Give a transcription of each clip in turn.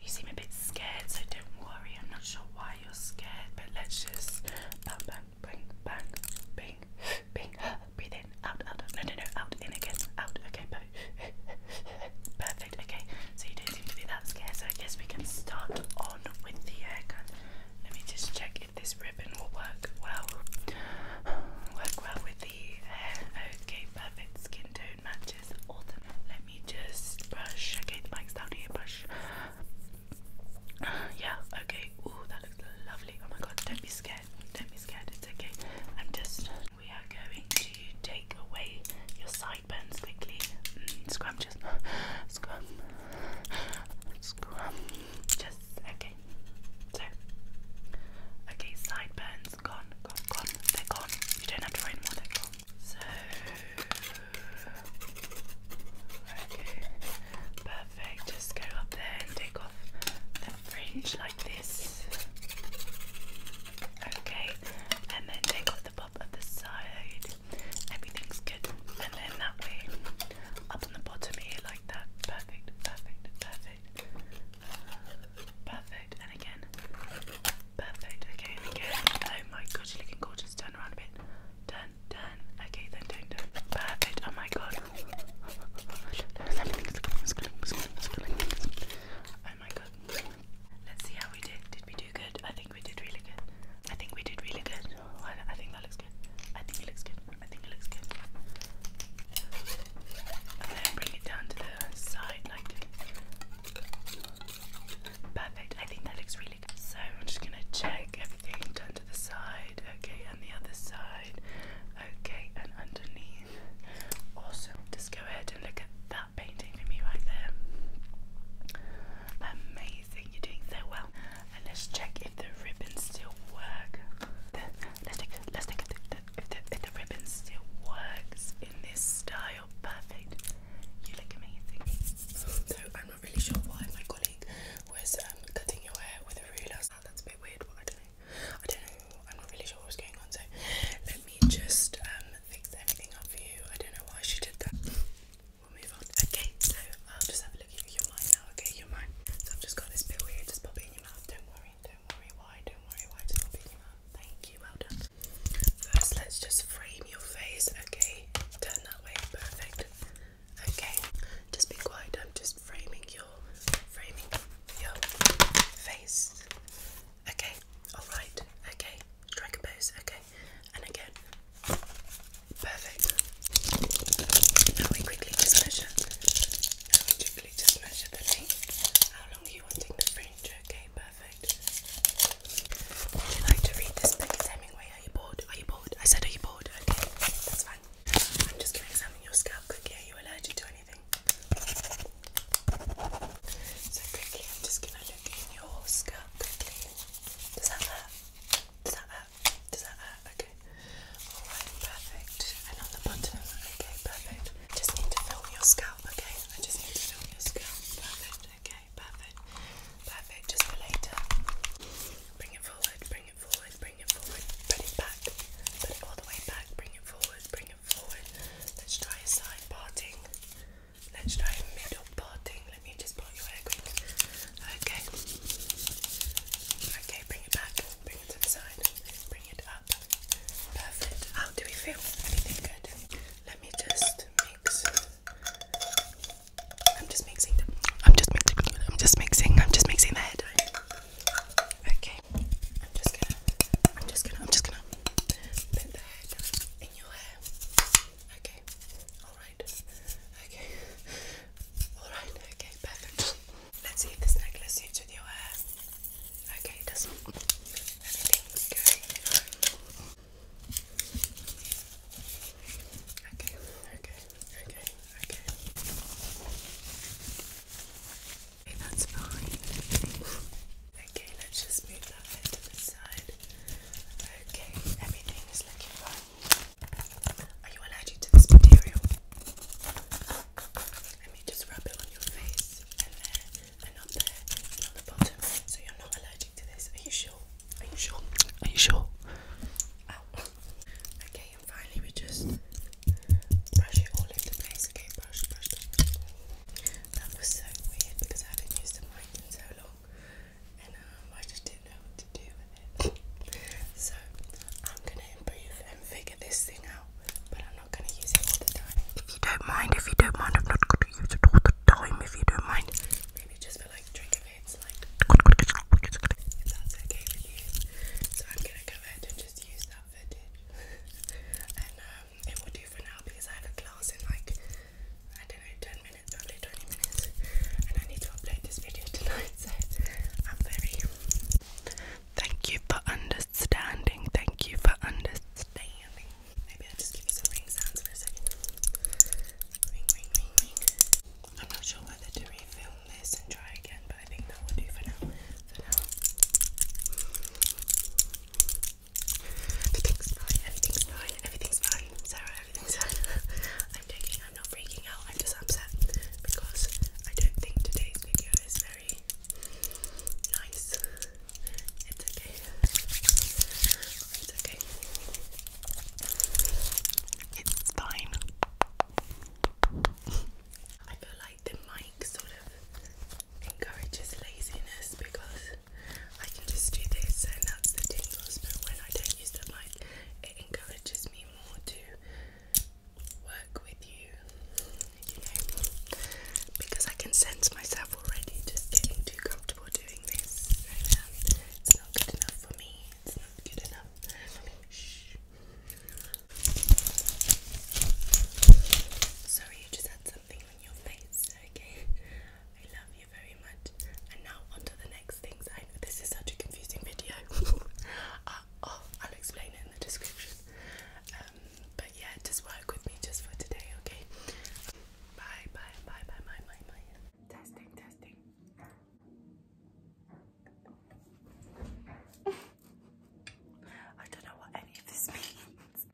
You seem a bit scared, so don't worry. I'm not sure why you're scared, but let's just bang, bang, bang, bang, bing, bing. Breathe in, out, out, No, no, no, out, in again, out. Okay, perfect. Okay, so you don't seem to be that scared, so I guess we can start on with the haircut. Let me just check if this ribbon will work well. Work well with the hair. Okay, perfect. Skin tone matches. Autumn. Let just brush. Okay, the mic's down here. Brush. Yeah. Okay. Oh, that looks lovely. Oh my God! Don't be scared. Don't be scared. It's okay. I'm just. We are going to take away your sideburns quickly. Mm, scrum, just scrum, scrum. Just okay. So, okay, sideburns gone, gone, gone. They're gone. You don't have to find more, they're gone. So, okay, perfect. Just go up there and take off the fringe like this. Okay, and then take off the pop at the side. Everything's good. And then that way, up on the bottom here, like that. Perfect, perfect, perfect. Perfect, and again. Perfect. Okay, and again. Oh my god, you're looking gorgeous. Turn around a bit. Turn, turn. Okay, then turn, turn. Perfect. Oh my god. Oh my god. Let's see how we did. Did we do good? I think we did really good. I think we did really good. Oh, I think that looks good. I think it looks good. I think it looks good. And then bring it down to the side like Perfect. I think that looks really good. So I'm just gonna check everything done to the side. Okay, and the other side. Okay, and underneath. Awesome. Just go ahead and look at that painting for me right there. Amazing, you're doing so well. And let's check if the ribbons still work. let's take let's take if the, if the if the ribbon still works in this style perfect. You look amazing. So I'm not really sure why my colleague was um, cutting your hair with a ruler. that's a bit weird, I don't know. I am not really sure what going on. So let me just um, fix everything up for you. I don't know why she did that. We'll move on. Okay, so just have a look at your mind now. Okay, your mind. So I've just got this bit weird. Just pop in your mouth. Don't worry. Don't worry why. Don't worry why. Thank you, well done. First, let's just frame your face, okay? Turn that way, perfect. Okay, just be quiet. I'm just framing your framing your face. Okay, alright, okay. Dragon pose, okay. And again. Perfect. Now we quickly just measure. Now we quickly just measure the length. How long are you wanting the fringe? Okay, perfect. Would you like to read this Hemingway. Are you bored? Are you bored? I said, Are you bored? Okay, that's fine. I'm just going to your scalp quickly. Are you allergic to anything? So, quickly, I'm just going to look in your scalp quickly. Does that hurt? Does that hurt? Does that hurt? Okay. Alright, perfect. And on the bottom. Okay, perfect. I just need to film your scalp, okay? I just need to film your scalp. Perfect, okay, perfect, perfect. Just for later. Bring it forward, bring it forward, bring it forward, bring it back, put it all the way back, bring it forward, bring it forward. Let's try a side parting. Let's try a middle parting. Let me just part your hair quick. Okay. Okay, bring it back. Bring it to the side. Bring it up. Perfect. How do we feel? Anything good? Let me just mix. I'm just mixing. I'm just mixing. I'm just mixing. I'm just mixing the hair Okay. I'm just I'm just gonna. I'm just gonna put the hair in your hair. Okay. All right. Okay. All right. Okay. Perfect. Let's see if this necklace suits with your hair. Okay, doesn't. Everything's good. Okay, okay, okay, okay. Okay, that's fine. Okay, let's just move that to the side. Okay, everything is looking fine. Are you allergic to this material? Let me just rub it on your face and there and up there on the bottom. So you're not allergic to this. Are you sure? Are you sure? Are you sure? Okay, finally we just brush it all over place. Okay, brush, brush, brush. That was so weird because I haven't used a mic in so long, and um, I just didn't know what to do with it. so I'm gonna improve and figure this thing out, if you don't mind, if you don't mind, I'm not gonna use it all the time. If you don't mind, maybe just for like trigger bits, like if that's okay with you. So I'm gonna go ahead and just use that footage, and um, it will do for now because I have a class in like I don't know, 10 minutes, probably 20 minutes, and I need to upload this video tonight. So I'm very. Thank you for understanding understanding. Thank you for understanding. Maybe I'll just give you some ring sounds for a second. I'm not sure whether to refilm this and try again, but I think that will do for now. For now. Everything's fine, everything's fine, Sarah, everything's fine. I'm joking, I'm not freaking out, I'm just upset because I don't think today's video is very it's It's fine. I feel like the mic sort of encourages laziness because I can just do this and that's the tingles, but when I don't use the mic, it encourages me more to work with you because I can sense myself already just getting too comfortable doing this. It's not good enough for me. It's not good enough Sorry, you just had something on your face. Okay, I love you very much. And now on the next things. this is such a confusing video. uh, oh, I'll explain it in the description. Um, but yeah, just work with me just for today, okay? Bye, bye, bye, bye, bye, bye, bye. Testing, testing. I don't know what any of this means.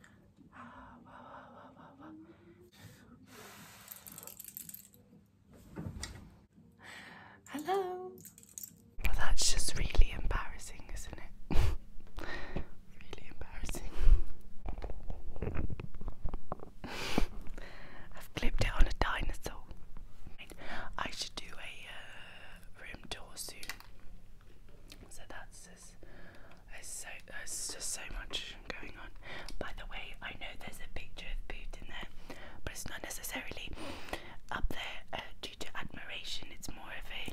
Hello. that's just really embarrassing, isn't it? really embarrassing. I've clipped it on a dinosaur. I should do a uh, room tour soon. So that's just, so, there's just so much going on. By the way, I know there's a picture of Boot in there, but it's not necessarily up there uh, due to admiration. It's more of a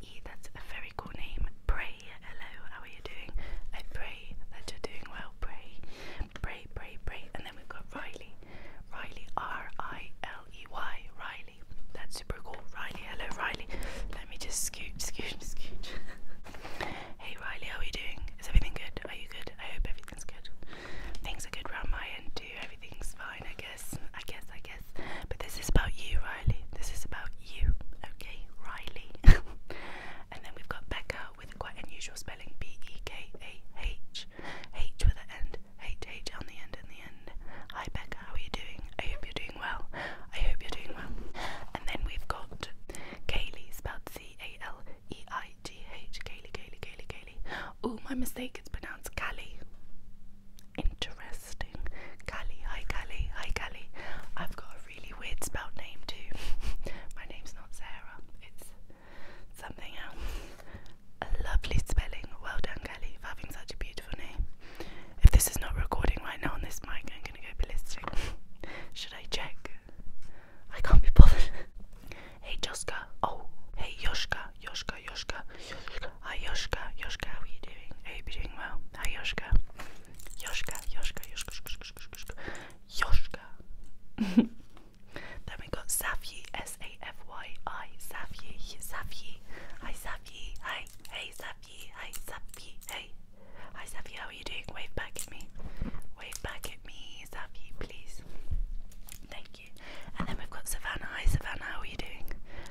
that's a very cool name. Pray. Hello. How are you doing? I pray that you're doing well. Pray. Pray. Pray. Pray. And then we've got Riley. Riley. R I L E Y. Riley. That's super cool. Riley. Hello, Riley. Let me just scoot, scoot, scoot. hey, Riley. How are you doing? Is everything good? Are you good? I hope everything's good. Things are good round my end too. Everything's fine. I guess. I guess. I guess. But this is about you, Riley. This is about you, okay, Riley. and then we've got Becca with quite unusual spelling B E K A H. H with an end, H H on the end and the end. Hi Becca, how are you doing? I hope you're doing well. I hope you're doing well. And then we've got Kaylee, spelled C A L E I G H. Kaylee, Kaylee, Kaylee, Kaylee. Oh, my mistake, it's pronounced Callie interesting. Callie, hi Callie, hi Callie. I've got a really weird spelled name too. My name's not Sarah, it's something else. A lovely spelling. Well done, Callie, having such a beautiful name. If this is not recording right now on this mic, I'm gonna go ballistic. Should I check? I can't be bothered. hey Joska. Oh, hey Yoshka, Yoshka, Yoshka. Hi Yoshka, Yoshka, are you doing? Are doing well? Hi Yoshka. Yoshka, Yoshka, Yoshka, Yoshka, Yoshka. then we got Safyi, S-A-F-Y-I, Safyi, Safyi. Hi Safyi, hi, hey Safyi, hi Safyi, hey. Hi Safyi, how are you doing? Wave back at me. Wave back at me, Safyi, please. Thank you. And then we've got Savannah. Hi Savannah, how are you doing?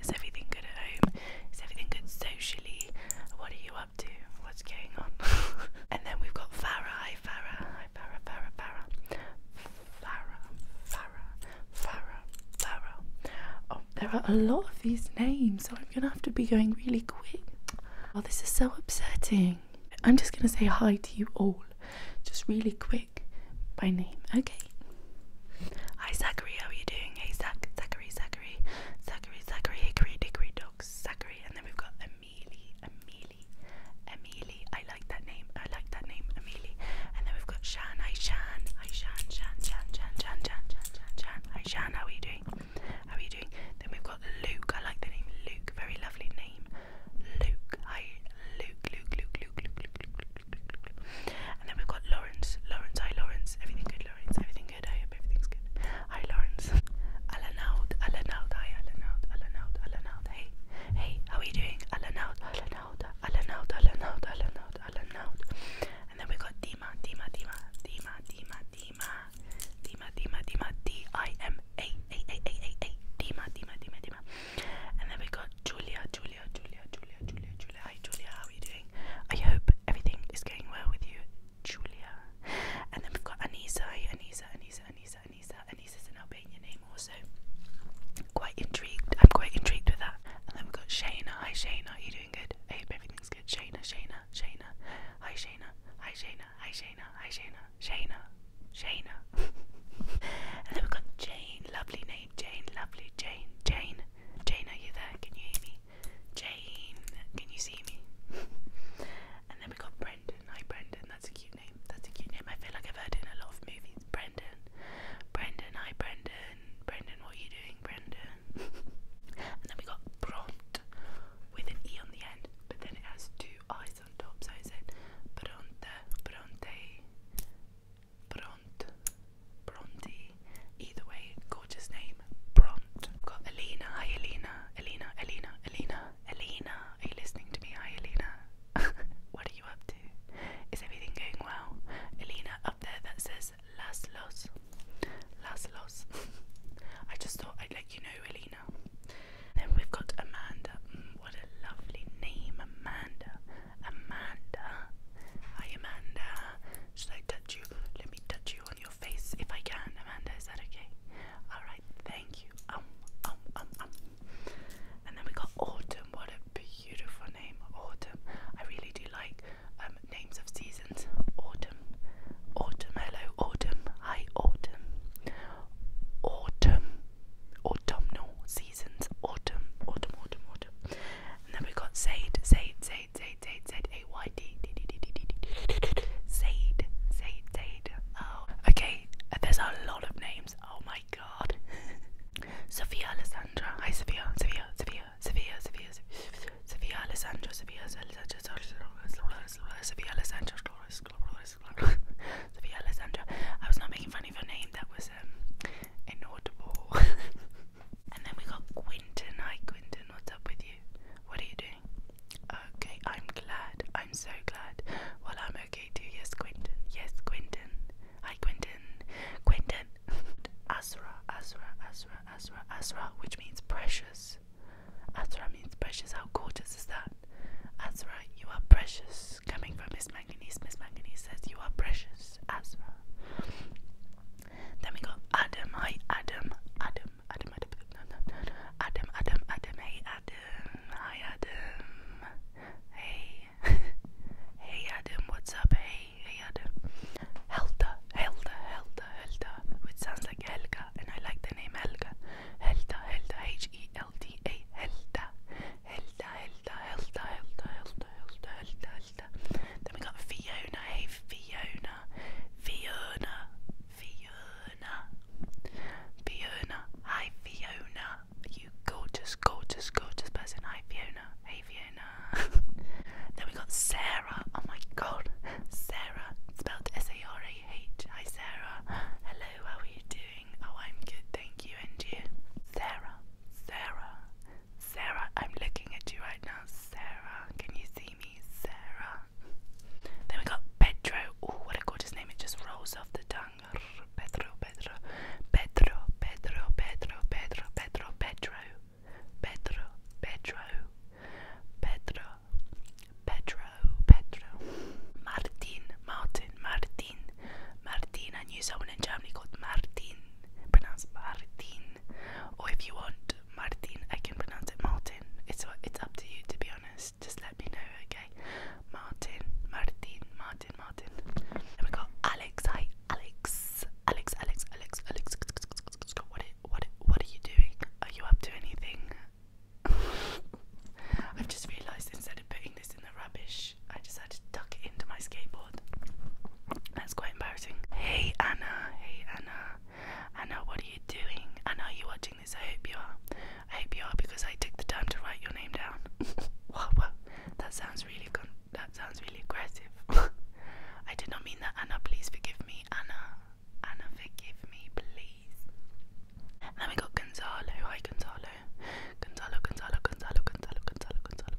Is everything good at home? Is everything good socially? What are you up to? What's going on? and then we've got Farah. Farah. Farah. Farah. Farah. Farah. Farah. Farah. Oh, there are a lot of these names, so I'm gonna have to be going really quick. Oh, this is so upsetting. I'm just gonna say hi to you all, just really quick by name. Okay right. Hi Zachary, how are you doing? Hey Zach, Zachary, Zachary, Zachary, Zachary, Hickory, Dickory, Dogs, Zachary, and then we've got Amelie, Amelie, Amelie. I like that name. I like that name, Amelie. And then we've got Shan. Hi Shan. Hi Shan. Shan. Shan. Shan. Shan. Shan. Shan. Shan. Shan. Hi Shan. How are you doing? How are you doing? Then we've got Luke. I like the name Luke. Very lovely name. Luke. Hi Luke. Luke. Luke. Luke. Luke. Luke. Luke. And then we've got Lawrence. Lawrence, hi Lawrence. Everything good, Lawrence. Everything good. I hope everything's good. Hi Lawrence. Alanaud, Alanaud, hi Alanaud, Alanaud, Alanaud. Hey, hey, how are you doing? Alanaud, Alanaud, Alanaud, Alanaud, Alanaud, Alanaud. And then we've got Dima, Dima, Dima, Dima, Dima, Dima, Dima, Dima, Dima, D-I-M-A, A, A, A, A, A, Dima, Dima, Dima, Dima. And then we got Julia, Julia, Julia, Julia, Julia, Julia. Hi Julia, how are you doing? I hope everything is going well with you, Julia. And then we've got Anisa, Anisa, Anisa, Anisa, Anisa. Anisa's an Albanian name also. Quite intrigued. I'm quite intrigued with that. And then we've got Shayna. Hi Shayna, are you doing good? I hope everything's good. Shayna, Shayna, Shayna. Hi Shayna. Hi Shayna. Hi Shayna. Hi Shayna. Shayna. Shayna. and then we've got Jane. Lovely name. Jane. Lovely. Jane. Jane. Jane, are you there? Can you hear me? Jane, can you see me? and then we got Brendan. Hi, Brendan. That's a cute name. That's a cute name. I feel like I've heard it in a lot of movies. Brendan. Brendan. Hi, Brendan. Brendan, what are you doing, Brendan? and then we got Bront with an E on the end, but then it has two eyes on top, so I said Bronte, Bronte, Bront, Bronte. Either way, gorgeous name, Bront. I've got Alina. Hi, Alina. Alina. Alina. Alina. Alina. Are you listening to me? Hi, Alina. what are you up to? Is everything going well? Alina up there that says Las Los. Las Los. I just thought I'd let you know, Alina. Then we've got Amanda. Mm, what a lovely name, Amanda. Amanda. Hi, Amanda. Should I touch you? Let me touch you on your face if I can. Amanda, is that okay? Alright, thank you. Um, um, um, um. And then we got Autumn. What a beautiful name, Autumn. I really do like um, names of seasons. Autumn. Autumn. Hello, Autumn. Hi, Autumn. Autumn. Autumnal season seasons autumn, autumn, autumn, autumn. And then we got Zaid, Zaid, Zaid, Zaid, Zaid, Zaid, A Y D, D, D, D, D, D, D, Zaid, Zaid, Zaid. Oh, okay. There's a lot of names. Oh my god. Sophia Alessandra. Hi, Sophia, Sophia, Sophia, Sophia, Sophia, Sophia Alessandra, Sophia Alessandra, Sophia Alessandra, Sophia Alessandra. I was not making fun of your name. That was um inaudible. and then we got Quinton. Hi Quinton, what's up with you? What are you doing? Okay, I'm glad. I'm so glad. Well, I'm okay too. Yes, Quinton. Yes, Quinton. Hi, Quinton. Quinton. Asra, Asra, Asra, Asra, Asra, which means precious. Asra means precious. How gorgeous is that? Asra, you are precious. Coming from Miss Manganese, says, You are precious, Asma. Then we got Adam, hi Adam, Adam, Adam, Adam, no, Adam, Adam, Adam, hey Adam, hi Adam, hey, hey Adam, what's up, hey, hey Adam, Helda, Helda, Helda, Helda, which sounds like Helga, and I like the name Helga, Helda, Helda, H-E-L-D-A, Helda, Hilda, Hilda, Hilda, Hilda, Hilda, Hilda, Hilda, Hilda. Then we got Fiona, hey Fiona, Fiona, Fiona, Fiona, hi Fiona. You gorgeous, gorgeous, gorgeous person. Hi Fiona, hey Fiona. then we got Sarah. Oh my God, Sarah. Spelled S-A-R-A-H. Hi Sarah. Hello, how are you doing? Oh, I'm good, thank you. And you? Sarah, Sarah, Sarah, I'm looking at you right now. Sarah, can you see me? Sarah. Then we got Pedro. Oh, what a gorgeous name. It just rolls off the tongue. Pedro, Pedro, Pedro, Pedro, Pedro, Pedro, Pedro, Pedro, Pedro, Pedro, Pedro, Pedro, Martin, Martin, Martin. Martin. Martin. I knew someone in Germany called Martin, Pronounce Martin. Or if you want Martin, I can pronounce it Martin. It's it's up to you to be honest. Just let me know, okay? Martin, Martin, Martin, Martin. And we got Alex. Hi, Alex. Alex, Alex, Alex, Alex. what are you doing? Are you up to anything? I've just realised instead of putting this in the rubbish I just had to tuck it into my skateboard. That's quite embarrassing. Hey Anna, hey Anna. Anna, what are you doing? Anna, are you watching this? I hope you are. I hope you are because I took the time to write your name down. wow, wow, that sounds really con that sounds really aggressive. I did not mean that, Anna. Please forgive me, Anna. Anna, forgive me, please. then we got Gonzalo. Hi, Gonzalo. Gonzalo, Gonzalo, Gonzalo, Gonzalo, Gonzalo, Gonzalo, Gonzalo, Gonzalo,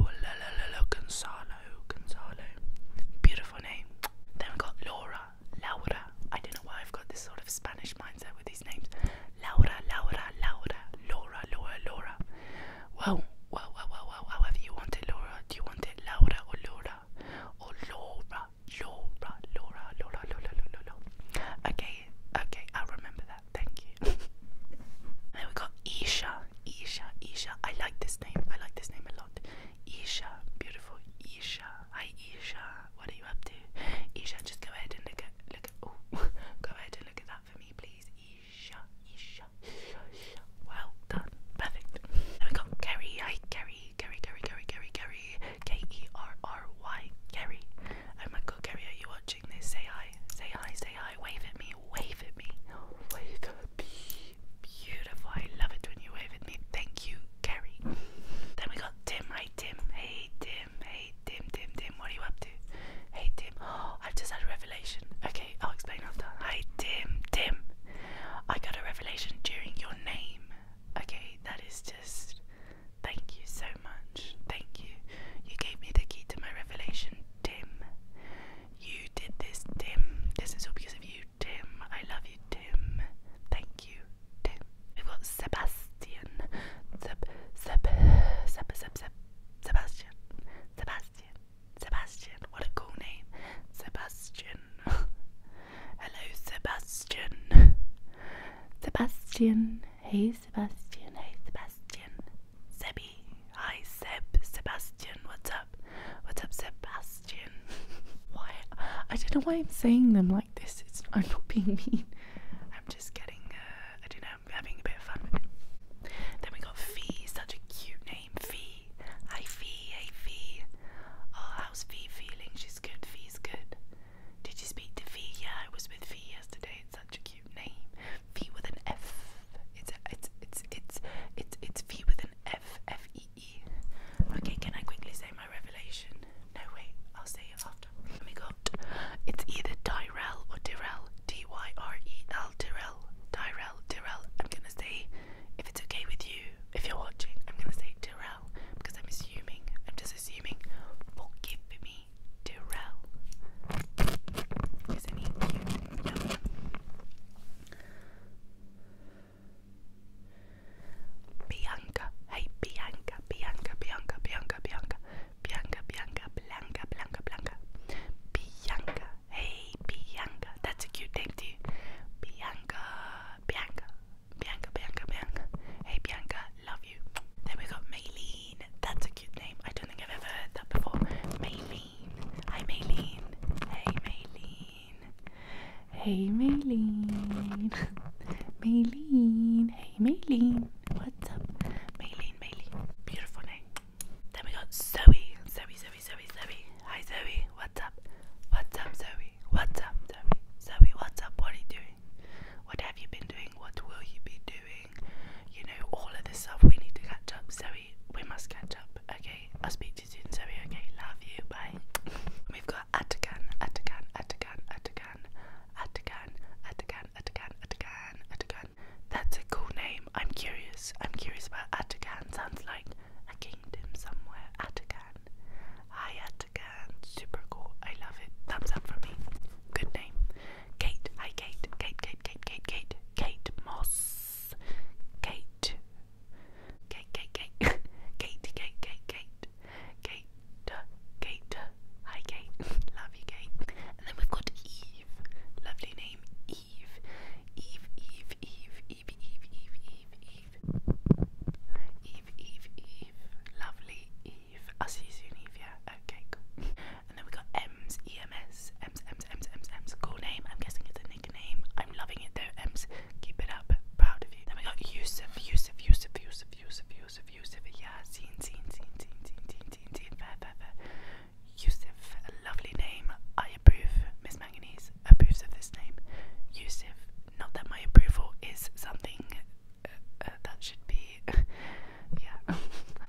Gonzalo, Gonzalo, Gonzalo, Gonzalo. Beautiful name. Then we've got Laura, Laura. I don't know why I've got this sort of Spanish mindset with these names. Laura, Laura, Laura, Laura, Laura, Laura. Wow. Well, well, well, well, however you want it, Laura. Do you want it Laura or Laura? Or Laura? Laura, Laura, Laura, Laura, Laura, Laura, Okay, okay, i remember that. Thank you. then we got Isha, Isha, Isha. I like this name. I like this name a lot. Isha, beautiful Isha. Hi Isha, what are you up to? Isha, just go ahead and look at look at oh go ahead and look at that for me please. Isha, Isha, Isha. Well done. Perfect. Then we got Kerry. Hi Kerry. Gary, Gary, Gary, Gary, Gary, K E R R Y, Gary. Oh my God, Gary, are you watching this? Say hi, say hi, say hi. Wave at me, wave at me, wave at me. Beautiful. I love it when you wave at me. Thank you, Gary. Then we got Tim. Hi, Tim. Hey, Tim. Hey, Tim. Tim. Tim. What are you up to? Hey, Tim. Oh, I've just had a revelation. Okay, I'll explain after. Hi, Tim. Tim. I got a revelation during your name. Okay, that is just. Thank you so much. Thank you. You gave me the key to my revelation, Tim. You did this, Tim. This is all because of you, Tim. I love you, Tim. Thank you, Tim. We've got Sebastian. Seb, Seb, Seb, Seb, Seb, Sebastian. Sebastian. Sebastian. What a cool name. Sebastian. Hello, Sebastian. Sebastian. Hey, Sebastian. Hey, Sebastian. Sebby. Hi, Seb. Sebastian. What's up? What's up, Sebastian? why? I don't know why I'm saying them like this. It's, I'm not being mean. I'm just getting, uh, I don't know, I'm having a bit of fun Then we got Fee. Such a cute name. Fee. Hi, Fee. Hey, Fee. Oh, how's Fee feeling? She's good. Fee V's good. Did you speak to V? Yeah, I was with V yesterday. It's such a cute name. V with an F. It's it's it's it's it's it's V with an F F E E. Okay, can I quickly say my revelation? No wait, I'll say it after. Oh my god. It's either Tyrell or Tyrell. D Y R E L Tyrell. Tyrell Tyrell. I'm gonna say if it's okay with you, if you're watching, I'm gonna say Terrell because I'm assuming, I'm just assuming, forgive me, Terrell. Isn't he cute? No. Bianca, hey Bianca, Bianca, Bianca, Bianca, Bianca, Bianca, Bianca, Blanca, Blanca, Blanca, Bianca, hey Bianca, that's a cute name too, Bianca, Bianca, Bianca, Bianca, Bianca. Hey Bianca, love you. Then we got Maylene. That's a cute name. I don't think I've ever heard that before. Maylene. Hi Maylene. Hey Maylene. Hey Maylene. Maylene. Hey Maylene. What's up? Maylene, Maylene. Beautiful name. Then we got Zoe. Zoe, Zoe, Zoe, Zoe. Hi Zoe, what's up? What's up Zoe? What's up Zoe? Zoe, what's up? What are you doing? What have you been doing? What will you be doing? You know, all of this stuff we need to catch up. Zoe, we must catch up. Okay, I'll speak to you soon, Zoe. Okay, love you. Bye. We've got Atakan, Atakan, Atakan, Atakan, Atakan, Atakan, Atakan, Atakan, Atakan. That's a cool name. I'm curious. I'm curious about Atakan. Sounds like a kingdom somewhere. Atacan. Hi Atacan. Super cool. I love it. Thumbs up for me. Good name. Kate. Hi Kate. Kate, Kate, Kate, Kate, Kate. Kate Moss. Kate, Kate. Kate, Kate, Kate, Kate. Kate. Kate. Kate. Hi Kate. love you Kate. And then we've got Eve. Lovely name. Eve. Eve, Eve, Eve, Eve, Eve, Eve, Eve, Eve. Eve, Eve, Eve. Lovely Eve. I'll see you soon, Eve, yeah. Okay, cool. And then we got Ems, EMS, Ems, Ems, Ems, Ems, Ems. Cool name. I'm guessing it's a nickname. I'm loving it though, Ems. Keep it up. Proud of you. Then we got Yusuf, Yusuf, Yusuf, Yusuf, Yusuf, Yusuf, Yusuf. Yeah, seen, seen, seen, seen, seen, seen, seen, seen. Fair, a lovely name. I approve. Miss Manganese approves of this name. Yusuf, not that my approval is something uh, uh, that should be. yeah.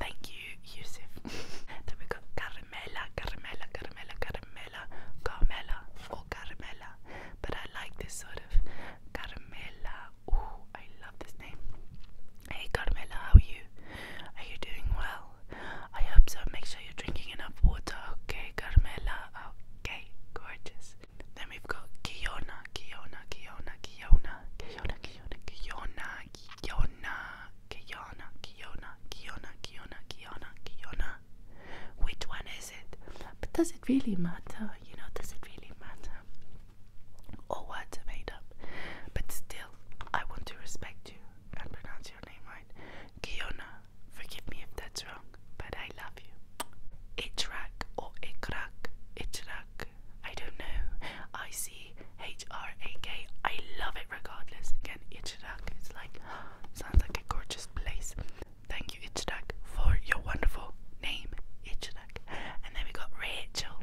Thank you, Yusuf. then we got Caramella, Caramella, Caramella, Caramella, Carmela, or Caramella. But I like this sort of Carmela. Ooh, I love this name. Hey, Carmela, how are you? Are you doing well? I hope so. Make sure you're drinking enough water, okay, Carmela? Okay gorgeous. Then we've got Kiona, Kiona, Kiona, Kiona, Kiona, Kiona, Kiona, Kiona, Kiona, Kiona, Kiona, Kiona, Kiona, Which one is it? But does it really matter? You know, does it really matter? All words are made up. But still, I want to respect you and pronounce your name right. Kiona, Forgive me if that's wrong, but I love you. Itrak or Ikrak, Itrak. I don't know. I see H R A K. I love it regardless. Again, Itrak. It's like sounds like a gorgeous place. Thank you, Itrak, for your wonderful name, Itrak. And then we got Rachel,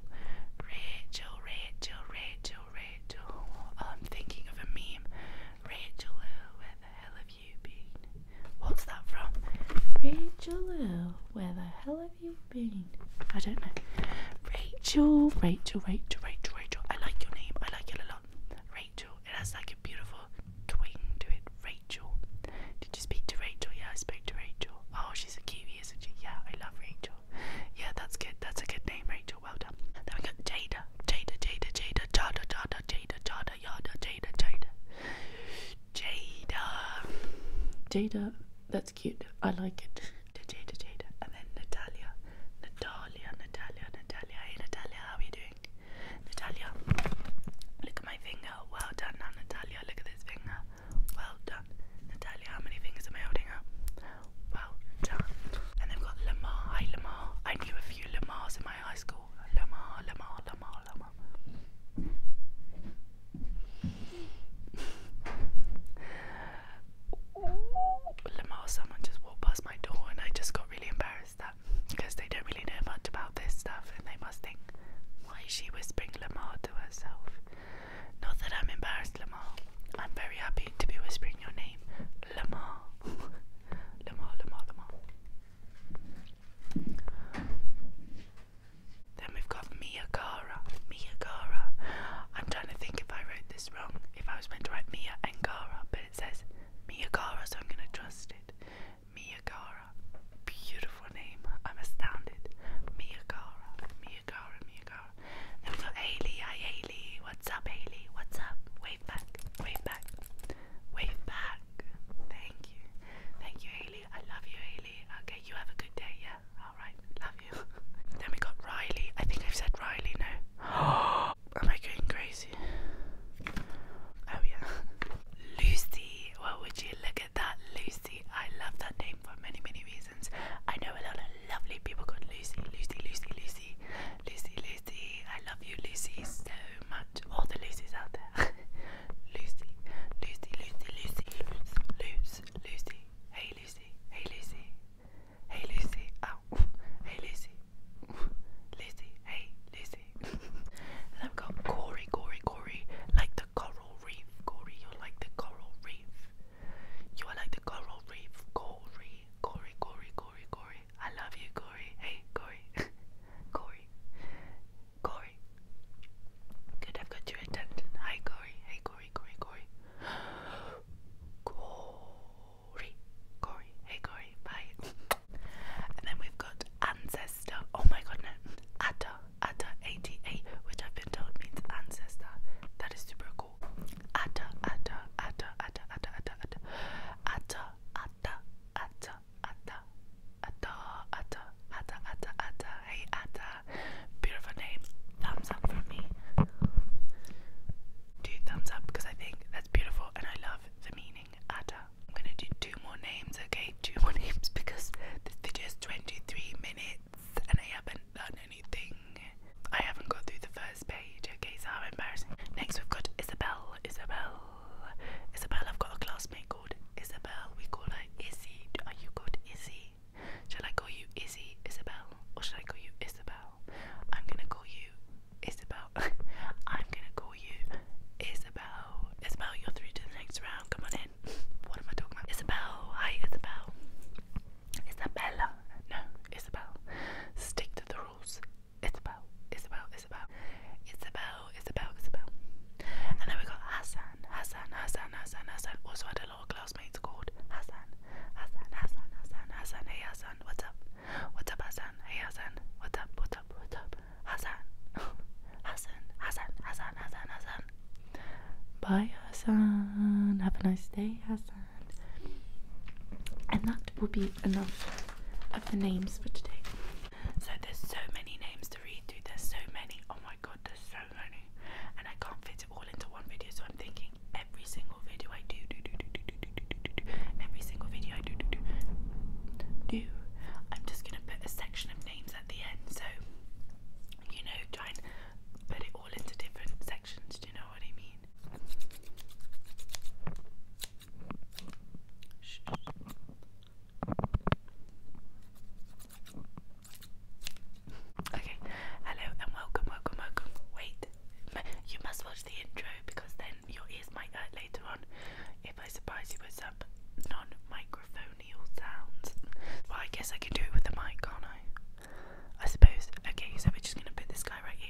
Rachel, Rachel, Rachel, Rachel. Oh, I'm thinking of a meme. Rachel, oh, where the hell have Rachel where the hell have you been? I don't know. Rachel, Rachel, Rachel, Rachel, Rachel. I like your name. I like it a lot. Rachel. It has like a beautiful twing to it. Rachel. Did you speak to Rachel? Yeah, I spoke to Rachel. Oh, she's a Kiwi, isn't she? Yeah, I love Rachel. Yeah, that's good. That's a good name, Rachel. Well done. Then we got Jada, Jada, Jada, Jada, Jada, Jada, Jada, yada yada Jada Jada Jada Jada that's cute I like it Jada Jada and then Natalia Natalia Natalia Natalia Hey Natalia how are you doing Natalia look at my finger well done now Natalia look at this finger well done Natalia how many fingers am I holding up well done and they've got Lamar hi Lamar I knew a few Lamars in my high school Lama, lama, lama, lama. Lamar, someone just walked past my door, and I just got really embarrassed that because they don't really know much about this stuff, and they must think, why is she whispering Lamar to herself? Not that I'm embarrassed, Lamar. I'm very happy to be whispering your name, Lamar. Lamar, Lamar, Lamar. Then we've got Miyagara. Miyagara. I'm trying to think if I wrote this wrong. If I was meant to write Mia and Gara, but it says Mia Miyagara, so I'm going to trust it. Mia Miyagara. Beautiful name. I'm astounded. Mia Miyagara. Mia Miyagara. Then we've got Haley. Hi, Haley. What's up, Haley? What's up? wave back, wave back, wave back. Thank you, thank you, Haley. I love you, Haley. Okay, you have a good day. Yeah, all right, love you. then we got Riley. I think I've said Riley now. Am I going crazy? Oh yeah, Lucy. Well, would you look at that, Lucy? I love that name for many, many reasons. I know a lot of lovely people called Lucy, Lucy, Lucy, Lucy. Lizzie, Lizzie, Lizzie. I love you, Lizzie, so much. All the Lizzies out there. Lucy, Lucy, Lucy, Lucy, Lucy, Lucy. Hey, Lucy. Hey, Lucy. Hey, Lucy. Ow. Hey, Lucy. Lizzie. Hey, Lizzie. and I've got Corey, Corey, Corey. Like the coral reef, Corey. You're like the coral reef. You are like the coral reef, Corey. Corey, Corey, Corey, Corey. Corey. I love you, Corey. Hey, Corey. Corey. Corey. Good, I've got your attention. Hi, Corey. Hey, Corey, Corey, Corey. Corey. Corey. Hey, Corey. Bye. and then we've got ancestor. Oh my god, no. Atta. Atta. ATA, which I've been told means ancestor. That is super cool. Atta. Atta. Atta. Atta. Atta. Atta. Atta. Atta. Atta atta atta atta atta atta atta atta atta hey atta beautiful name thumbs up for me do thumbs up because I think that's beautiful and I love the meaning atta I'm gonna do two more names okay two more names because this video 23 minutes and I haven't done anything I haven't got through the first Okay, so embarrassing. Next, we've got Isabel. Isabel. Isabel, I've got a classmate called Isabel. We call her Izzy. Are you called Izzy? Shall I call you Izzy, Isabel? Or should I call you Isabel? I'm gonna call you Isabel. I'm gonna call you Isabel. Isabel, you're through to the next round. Come on in. What am I talking about? Isabel. Hi, Isabel. Isabella. No, Isabel. Stick to the rules it's about, it's about, it's about, it's about, it's about, it's about. And then we got Hassan, Hassan, Hassan, Hassan, Hassan. Also had a lot of classmates called Hassan, Hassan, Hassan, Hassan, Hassan. Hey Hassan, what's up? What's up, Hassan? Hey Hassan, what's up? What's up? What's up? Hassan, Hassan, Hassan, Hassan, Hassan, Hassan. Bye, Hassan. Have a nice day, Hassan concerned. And that will be enough of the names for today. So there's so many names to read through. There's so many. Oh my god, there's so many. And I can't fit it all into one video, so I'm thinking every single video I do, do, do, do, do, do, do, do, do, do, every single video I do, do, do, do, I'm just gonna put a section of names at the end. So you know, try and put it all into different sections. Do you know what I mean? Okay, hello and welcome, welcome, welcome. Wait, you must watch the intro because then your ears might hurt later on if I surprise you with some non microphonial sounds. Well, I guess I can do it with the mic, can't I? I suppose. Okay, so we're just gonna put this guy right here.